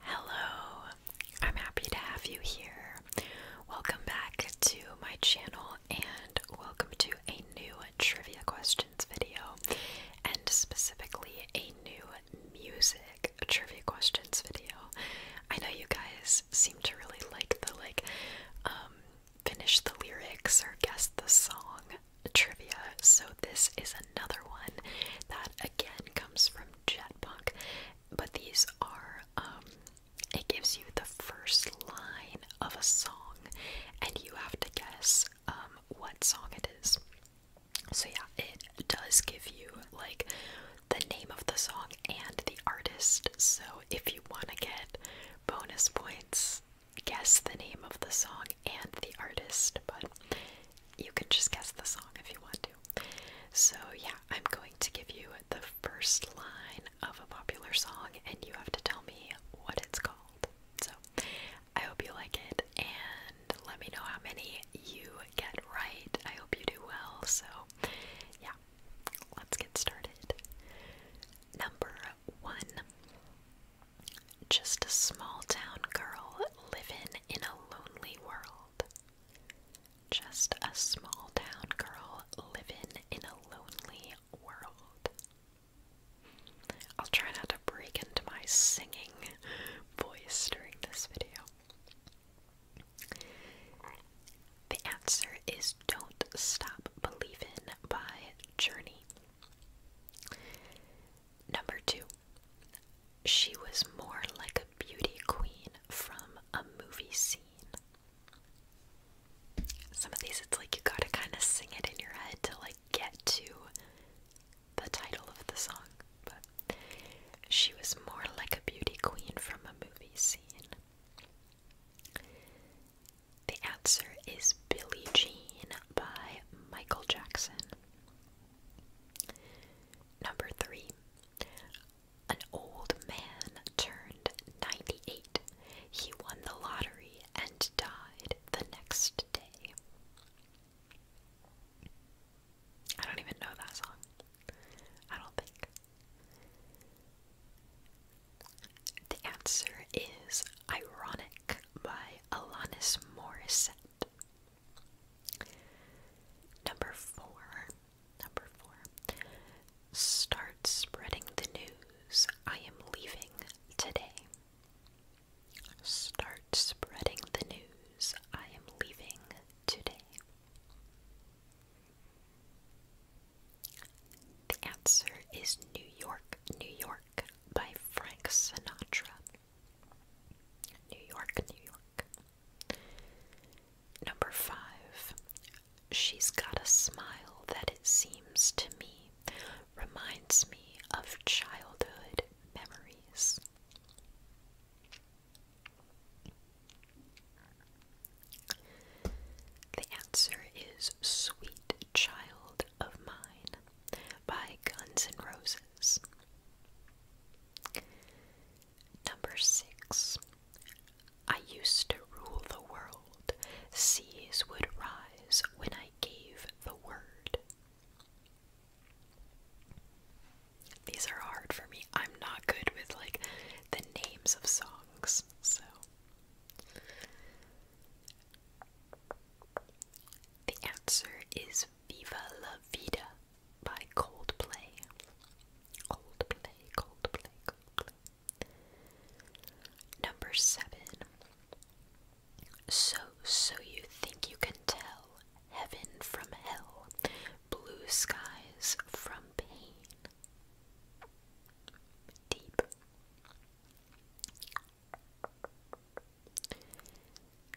Hello, I'm happy to have you here. Welcome back to my channel and welcome to a new trivia questions video and specifically a new music trivia questions video. I know you guys seem to really like the like um finish the lyrics or guess the song trivia, so this is another one that again comes from Jet but these are, um, it gives you the first line of a song, and you have to guess um, what song it is. So, yeah, it does give you like the name of the song and the artist. So, if you want to get bonus points, guess the name of the song and the artist. But you can just guess the song if you want to. So, yeah, I'm going to give you the first line of a popular song, and you have to tell me what it's called. So, I hope you like it, and let me know how many you get right. I hope you do well. So, yeah, let's get started. Number one. Just a small town girl living in a lonely world. Just a small town girl living in a lonely world. I'll try not to break into my singing voice during this video. The answer is Don't Stop Believing" by Journey. Number two, she was more like a beauty queen from a movie scene. Some of these, it's like you gotta kind of sing it in your head to like get to the title of the song, but she was more like a beauty queen from a movie scene. The answer is Billie Jean by Michael Jackson. Number three, an old man turned 98. He won the lottery and died the next day. I don't even know that song. I don't think. The answer is Ironic by Alanis Morissette. Number four, number four, start spreading the news. I am leaving today. Start spreading the news. I am leaving today. The answer is New York, New York by Frank Sinatra. New York, New York. Number five, she's got a smile that it seems to me reminds me of childhood memories. The answer is Sweet Child of Mine by Guns N' Roses. Number six. I used to rule the world. Seas would rise when I gave the word. These are hard for me. I'm not good with like the names of songs, so the answer is Viva La Vida by Coldplay. Coldplay, Coldplay, Coldplay. Number seven. So, so you think you can tell heaven from hell, blue skies from pain. Deep.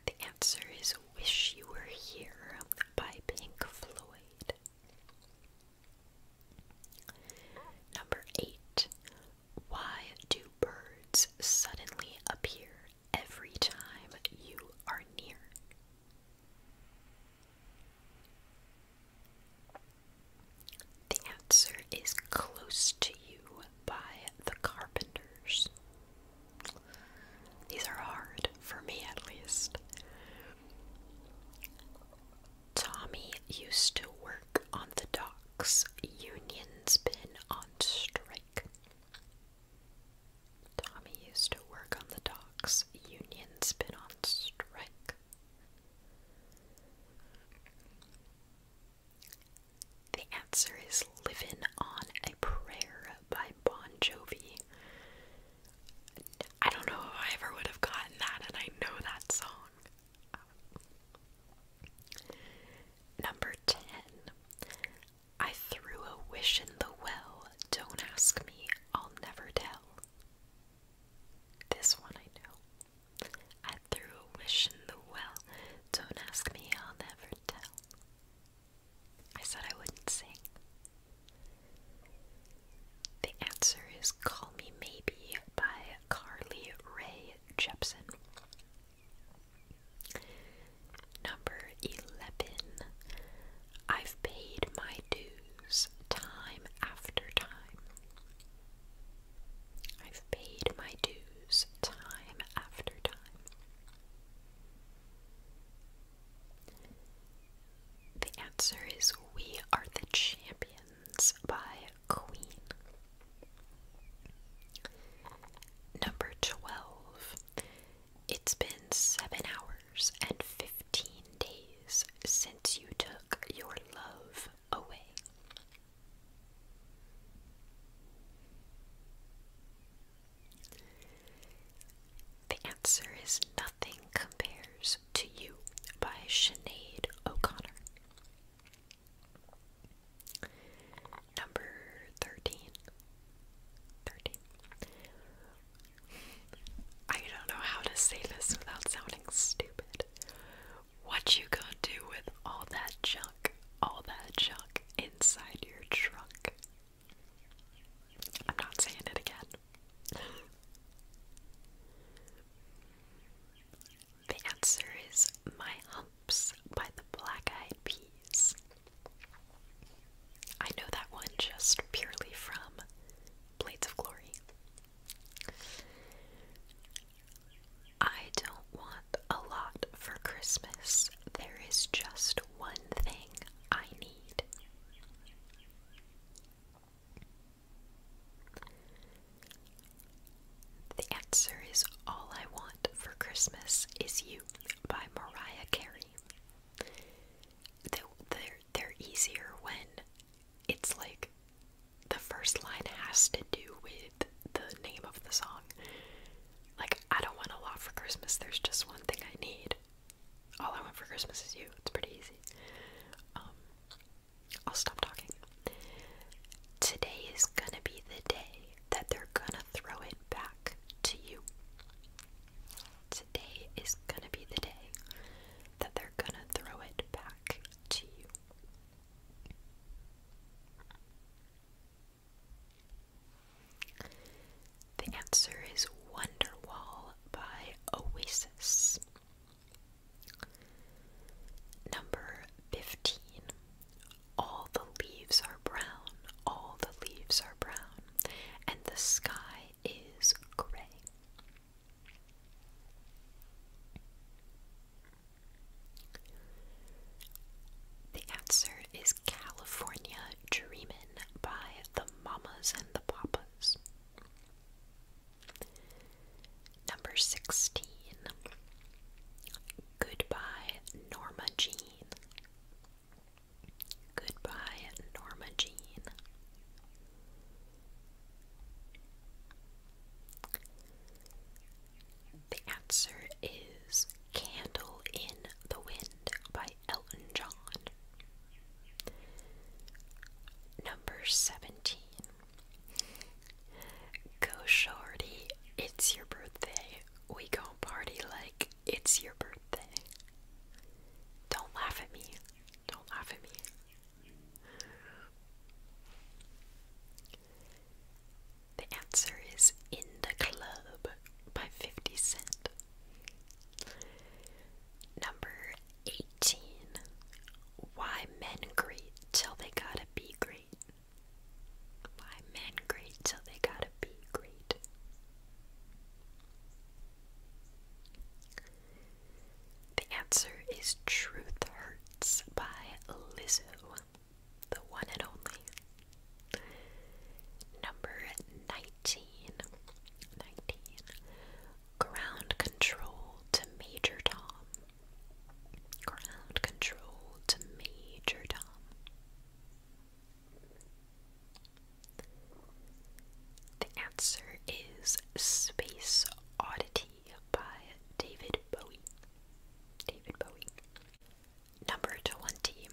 The answer is Wish You Were Here by Pink Floyd. Number 8. Why do birds suddenly appear every time you are near? The answer is close to you by the Carpenters. These are hard, for me at least. Tommy used to work on the docks. Union's been on strike. Tommy used to work on the docks. Union's been on strike. The answer is "Living on a Prayer by Bon Jovi. I don't know if I ever would have gotten that, and I know that song. number 10. I threw a wish in the well. Don't ask me, I'll never tell. This one I know. I threw a wish in the well. Don't ask me, I'll never tell. I said I wouldn't sing. The answer is Call Me Maybe by Carly Rae Jepsen. Number 11. I've paid my dues time after time. I've paid my dues time after time. The answer is We Are the Champions by Queen. Number 12. It's been 7 hours and 15 days since you took your love away. The answer is Nothing Compares to You by Sinead O'Connor. Number 13. 13. I don't know how to say this without sounding stupid. What you gonna do with all that junk? All that junk inside your trunk. I'm not saying it again. the answer is My Humps by the Black Eyed Peas. I know that one just purely from Blades of Glory. I don't want a lot for Christmas. There is just one thing I need. The answer is All I Want for Christmas Is You by Mariah Carey. They're, they're easier when it's like the first line has to do with the name of the song. Like, I don't want a lot for Christmas. There's just one thing I need. All I want for Christmas is you. It's pretty easy. Um, I'll stop talking. Today is gonna be the day that they're gonna throw it back to you. Today is gonna be the day that they're gonna throw it back to you. The answer is Wonderwall by Oasis. Number 15. All the leaves are brown, all the leaves are brown, and the sky is gray. The answer is California Dreamin' by the Mamas and the Papas. Number 16. Goodbye, Norma Jean. Goodbye, Norma Jean. The answer is Candle in the Wind by Elton John. Number 17. Go it's your birthday. We gon' party like it's your birthday. Don't laugh at me. Don't laugh at me. The answer is In the Club by 50 Cent. Number 18. Why men great till they gotta be great. Why men great till they gotta be great. The answer is Truth Hurts by Lizzo the one and only. Number 19. Ground control to Major Tom. Ground control to Major Tom. The answer is Space Oddity by David Bowie. David Bowie. Number 20.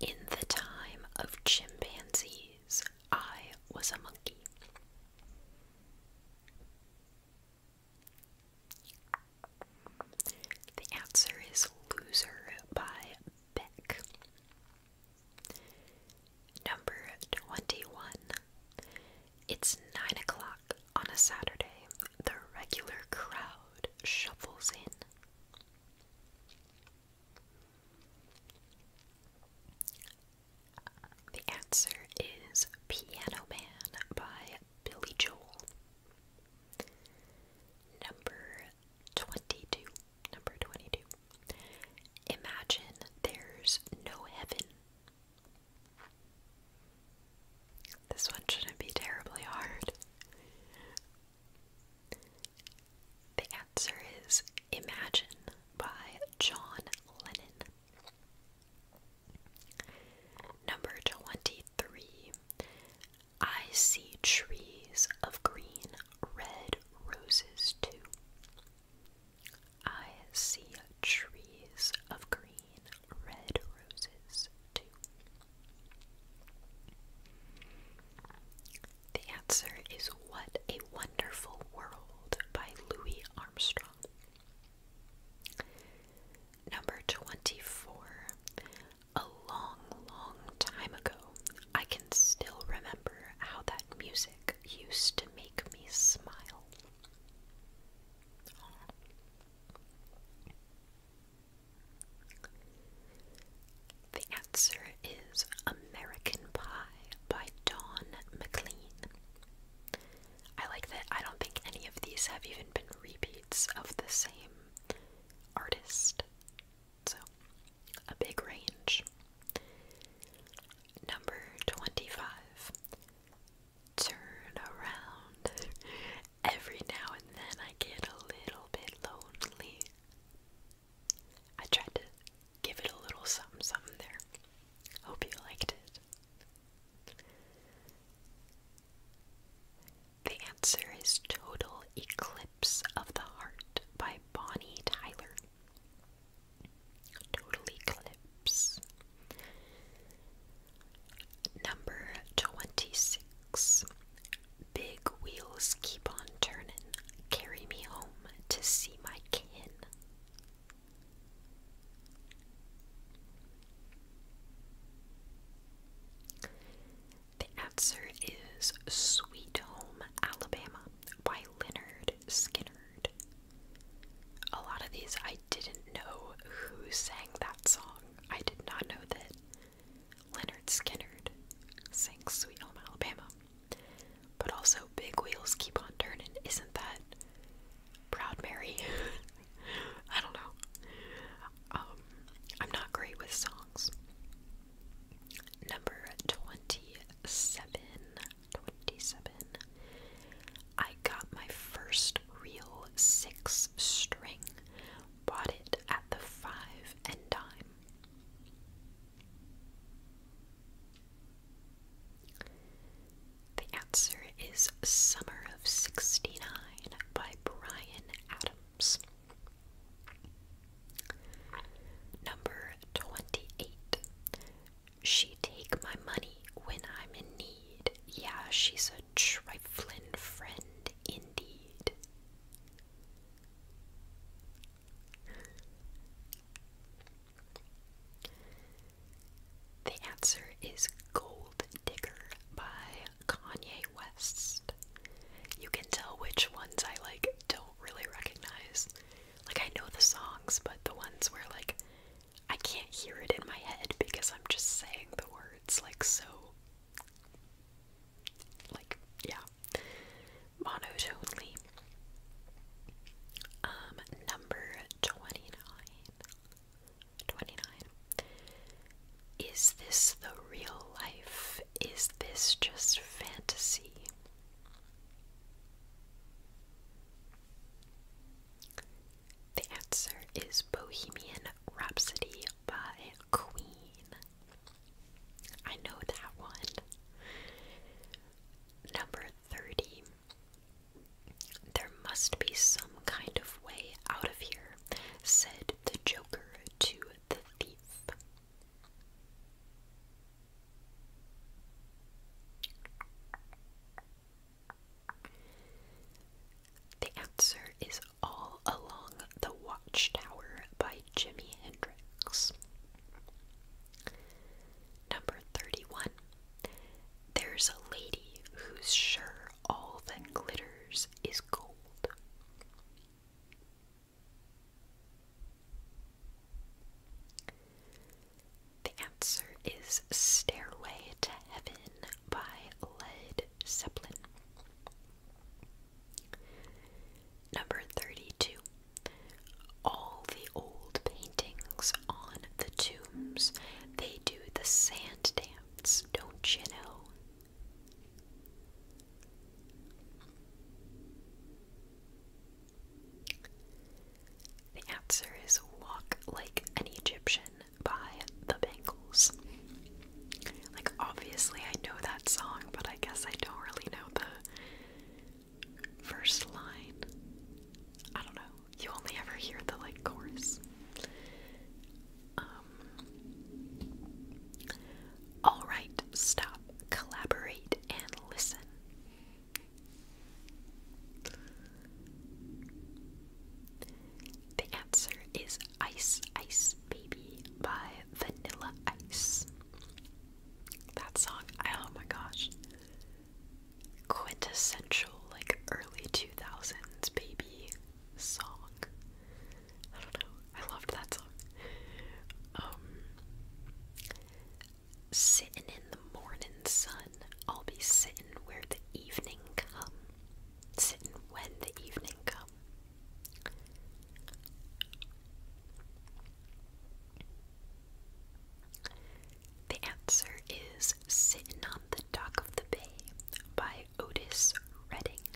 In the time of chimpanzees, I was a monkey. The answer is Loser by Beck. Number 21. It's 9 o'clock on a Saturday, the regular crowd shuffles in. The answer is Piano Man by Billy Joel. Number 22. Number 22. Imagine there's no heaven. This one shouldn't be terribly hard. The answer is Imagine by John Lennon. Number 23. I see trees of green, red roses too. I see trees of green, red roses, too? The answer is What a Wonderful World by Louis Armstrong. Number 24. A long, long time ago, I can still remember how that music used to make me smile. The answer is American Pie by Don McLean. I like that I don't think any of these have even been repeats of the same artist. So, a big range. Number 25 turn around. Every now and then I get a little bit lonely. I tried to give it a little something something there. Hope you liked it. The answer is Total Eclipse of the Heart by Bonnie Tyler. Total Eclipse. Number 26. Big wheels keep on turning. Carry me home to see my kin. The answer is Sweet Home, Alabama by Leonard Skinnard. A lot of these I I didn't know who sang that song. I did not know that Leonard Skinnard sang Sweet Home Alabama. But also, Big Wheels Keep on Turning. Isn't that Proud Mary? I don't know. Um, I'm not great with songs. Number 27. 27. I got my first real six string, bought it at the five and dime. The answer is Summer of 69 by Brian Adams. Number 28. She take my money when I'm in need. Yeah, she's a a trifling friend indeed. The answer is Gold Digger by Kanye West. You can tell which ones I like don't really recognize. Like I know the songs, but the ones where like I can't hear it in my head because I'm just saying the words like so like yeah monotonely. Um number 29. Is this the real life? Is this just fantasy? The answer is Bohemian Rhapsody by Queen. I know that one. Number 30. There must be some kind of way out of here, said the Joker to the thief. The answer is All Along the Watchtower by Jimi Hendrix. Number 31. There's a lady who's sure all that glitters is gold. The answer is Stairway to Heaven by Led Zeppelin. Number 32. All the old paintings on the tombs, they do the sand dance, don't you know? The answer is Walk Like an Egyptian by the Bangles. Like, obviously, I know that song, but I guess I don't really know the first line. I don't know. You only ever hear the like chorus. Um, all right, stop, collaborate, and listen. The answer is Ice Ice Baby by Vanilla Ice. That song, I, oh my gosh. Quintessential, like early 2000s baby song. I don't know, I loved that song. Um, and in the morning sun, I'll be sitting where the evening come. Sitting when the evening come. The answer is Sittin' on the Dock of the Bay by Otis Redding.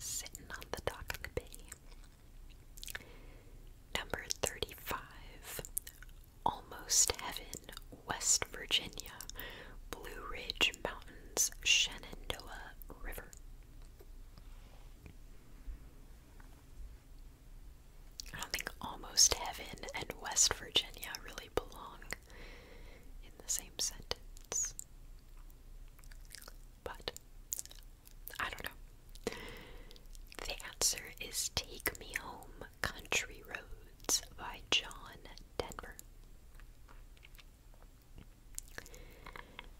Sittin' on the Dock of the Bay. Number 35 Almost Heaven, West Virginia, Blue Ridge Mountains, Shenandoah River. I don't think Almost Heaven and West Virginia really belong in the same sentence. But I don't know. The answer is Take Me Home Country Roads by John Denver.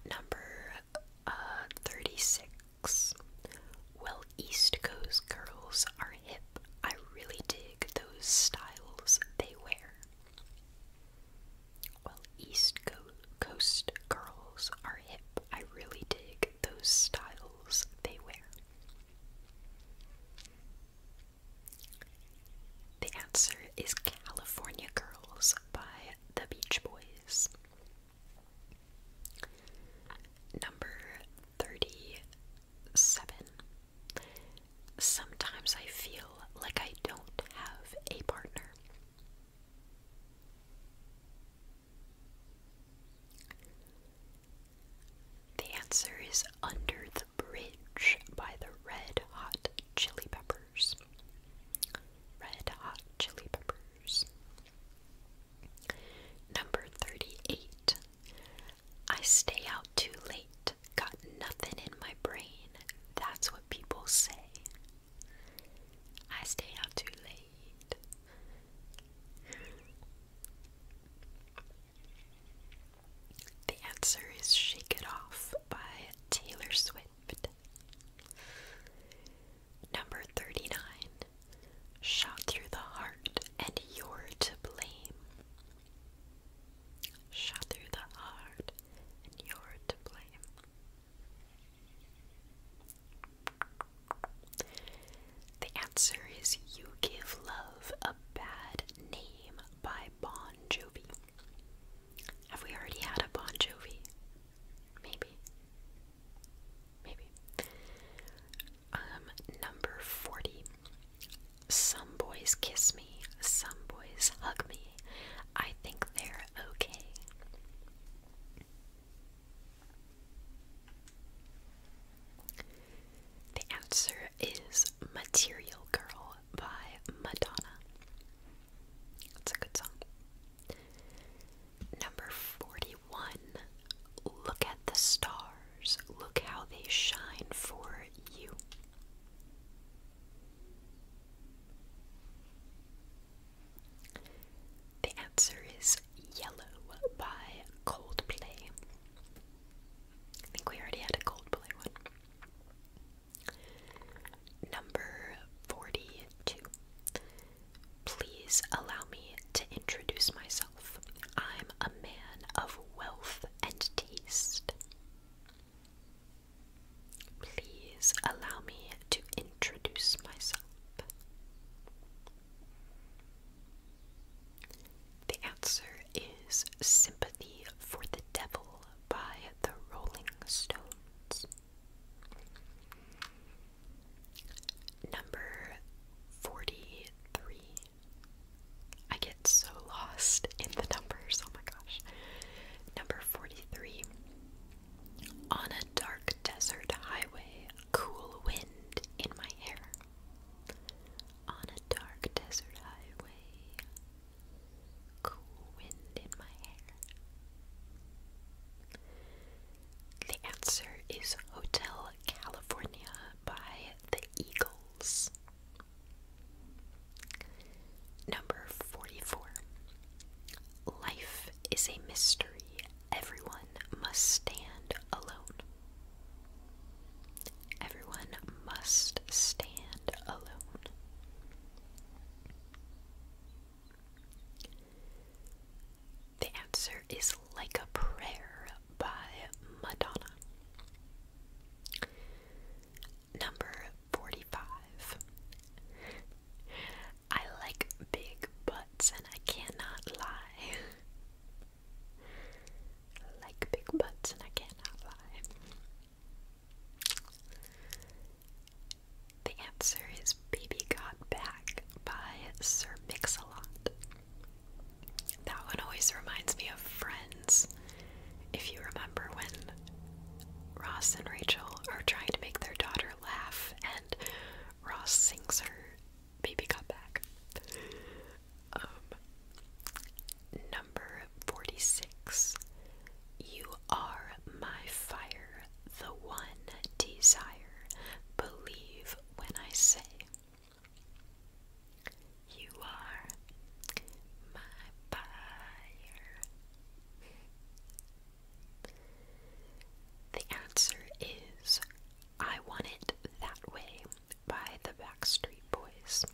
Number uh, 36. Well, East Coast girls are hip. I really dig those styles they wear. Well, East Coast girls are hip. I really dig those styles they wear. The answer is California Girls by the Beach Boys. Number 37. Sometimes I feel like I don't have a partner. The answer is Under the Bridge by the Red Hot Chili Peppers. Red Hot Chili Peppers. Number 38. I stay out too late, got nothing in my brain. That's what people say. I stay out too late, the answer is Shake It Off by Taylor Swift. Number 39. Shot through the heart, and you're to blame. Shot through the heart, and you're to blame. The answer is You Give Love a Bad Name by Bon Jovi. Have we already had a Bon Jovi? Maybe. Maybe. Um, number 40. Some boys kiss me, some boys hug me. I think they're okay. The answer is Material Girl by Madonna. It's a good song. Number 41. Look at the stars. Look how they shine for you. The answer is Yellow by Coldplay. I think we already had a Coldplay one. Number 42. Please allow me to introduce myself. I'm a man of wealth and taste. Please allow me to introduce myself. The answer is Sympathy for the Devil by the Rolling Stones. Number 43. I get so lost in the numbers, oh my gosh. Number 43. On a dark desert highway, cool wind in my hair. On a dark desert highway, cool wind in my hair. The answer is Hotel California by the Eagles. Number 44. Life is a mystery. Everyone must stand alone. Everyone must stand alone. The answer is Like a Prayer by Madonna. Number 45. I like big butts, and I cannot lie. I like big butts, and I cannot lie. The answer is Baby Got Back by Sir Mix-a-Lot. That one always reminds me of Friends. If you remember when Ross and Rachel are trying to make their daughter laugh, and Ross sings her baby got back. Um, number 46. You are my fire, the one desire. Believe when I say. You are my fire. The answer is I Want It That Way by the Backstreet Boys.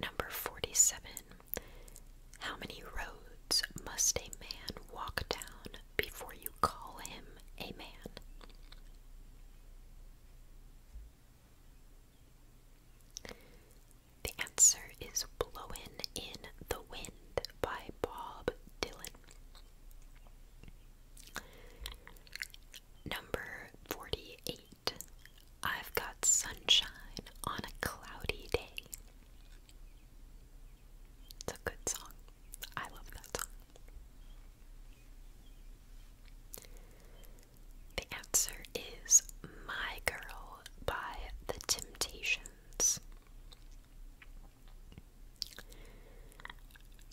Number 47. How many roads must a man walk down before you call him a man? The answer is Blowin' in the Wind by Bob Dylan. Number 48. I've got sunshine on a cloudy day. It's a good song. I love that song. The answer is My Girl by The Temptations.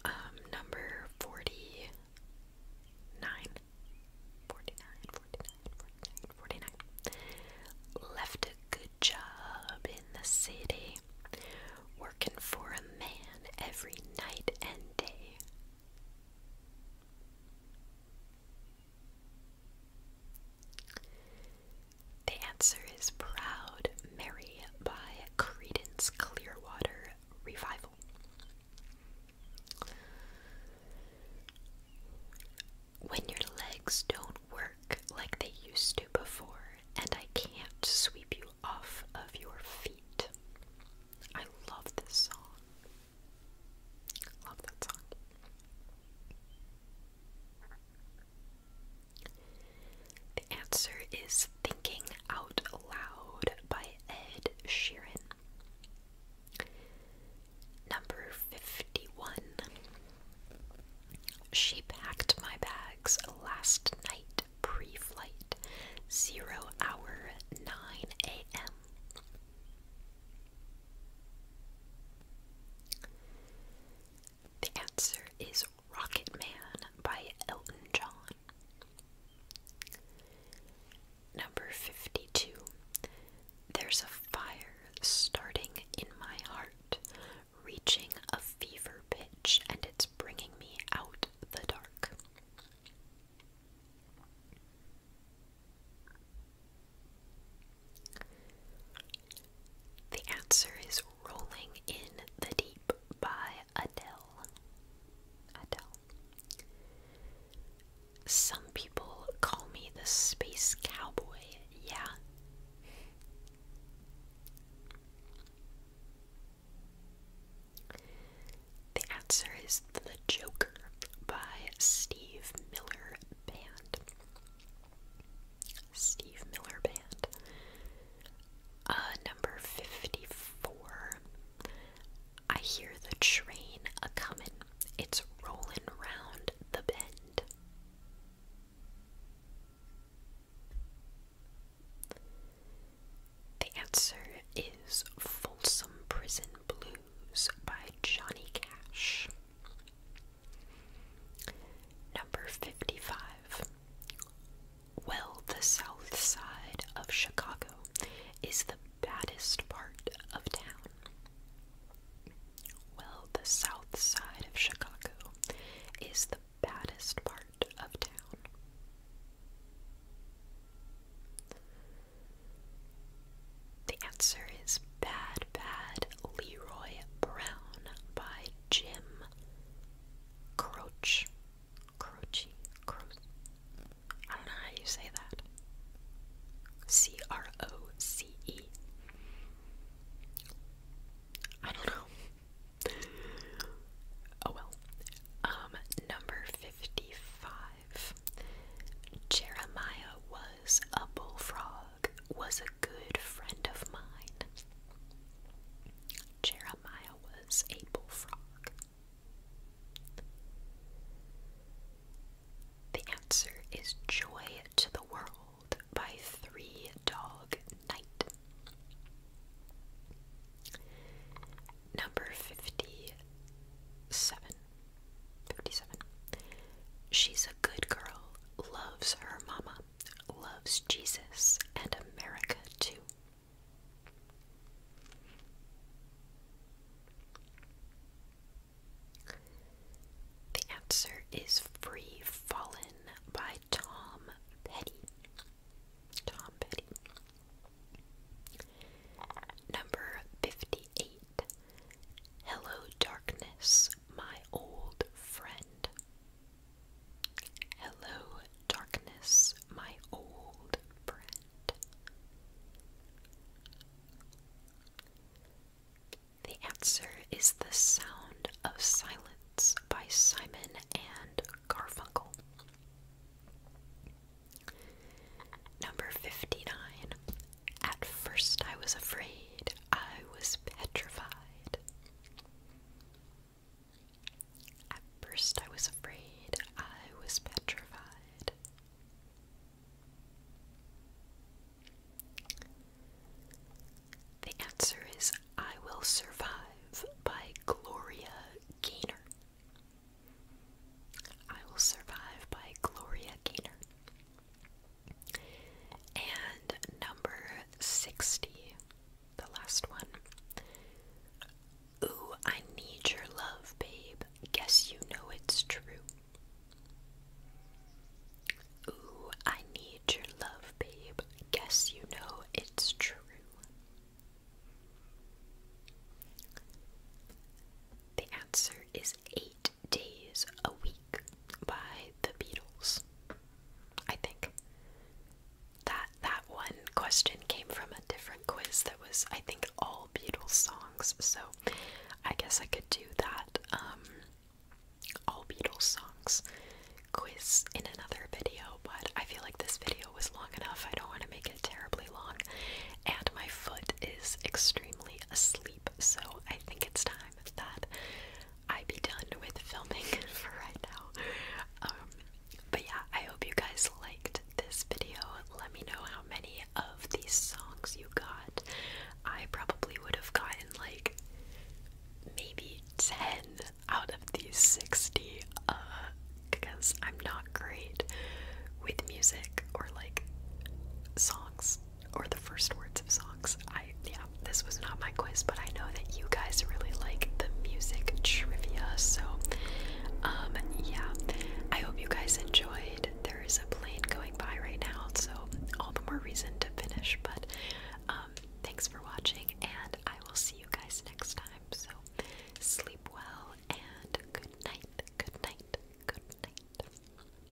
Um, number 49. 49, 49, 49, 49. Left a good job in the city, working for a man every night and day. The answer is Proud Mary by Credence Clearwater Revival. When your legs don't work like they used to before, and I can't sweep you off of your feet. I love this song. Love that song. The answer is Thinking Out Loud by Ed Sheeran. Number 51. She packed my bags last night pre flight, 0 hour 9 a.m. The answer is Rocket Man by Elton John. Number 52. There's a fire starting in my heart, reaching a fever pitch, and it's bringing me out the dark. The answer is Rolling in the Deep by Adele. Adele. Some people call me the space cowboy, yeah. The answer is The Joker by Steve Miller Band. Steve Miller Band. Uh, number 54. I hear the train a comin', it's rollin' round the bend. The answer is Folsom Prison Blues by Johnny Cash. Number 55. Well, the south side of Chicago is the baddest part of town. Well, the south side of Chicago is the baddest part of town. The answer is bad, bad, Leroy Brown by Jim Croce. Croce. I don't know how you say that. C R O C E. I don't know. Oh well. Um, number 55. Jeremiah was a bullfrog was a good friend of mine. Jeremiah was a bullfrog. The answer is Joy to the World by Three Dog Night. Number 57. 57. She's a good girl loves her mama, loves Jesus and America too. The answer is Free Fallen by Tom Petty. Tom Petty. Number 58 Hello Darkness my old friend. Hello, darkness, my old friend. The answer is The Sound of Silence by Simon and Garfunkel. Number 59 at first, I was afraid. I was petrified. At first, I was afraid. I was petrified. The answer is I Will Survive by Gloria Gaynor. I Will Survive by Gloria Gaynor. And number 60, the last one. Ooh, I need your love, babe. Guess you know it's true. Ooh, I need your love, babe. Guess you know it's true. The answer is eight days a week by the Beatles. I think that that one question came from a different quiz that was I think all Beatles songs. So I guess I could do that um all Beatles songs quiz in another video, but I feel like this video was long enough. I don't want to make it terribly long and my foot is extremely asleep so I think it's time that I be done with filming for right now. Um, but yeah, I hope you guys liked this video. Let me know how many of these songs you got. I probably would have gotten like maybe 10 out of these 60 uh, because I'm not great with music or like songs or the first words of songs. I yeah, this was not my quiz, but I know that you guys really like the music trivia. So um yeah, I hope you guys enjoyed. There is a plane going by right now, so all the more reason to finish, but um thanks for watching and I will see you guys next time. So sleep well and good night. Good night. Good night.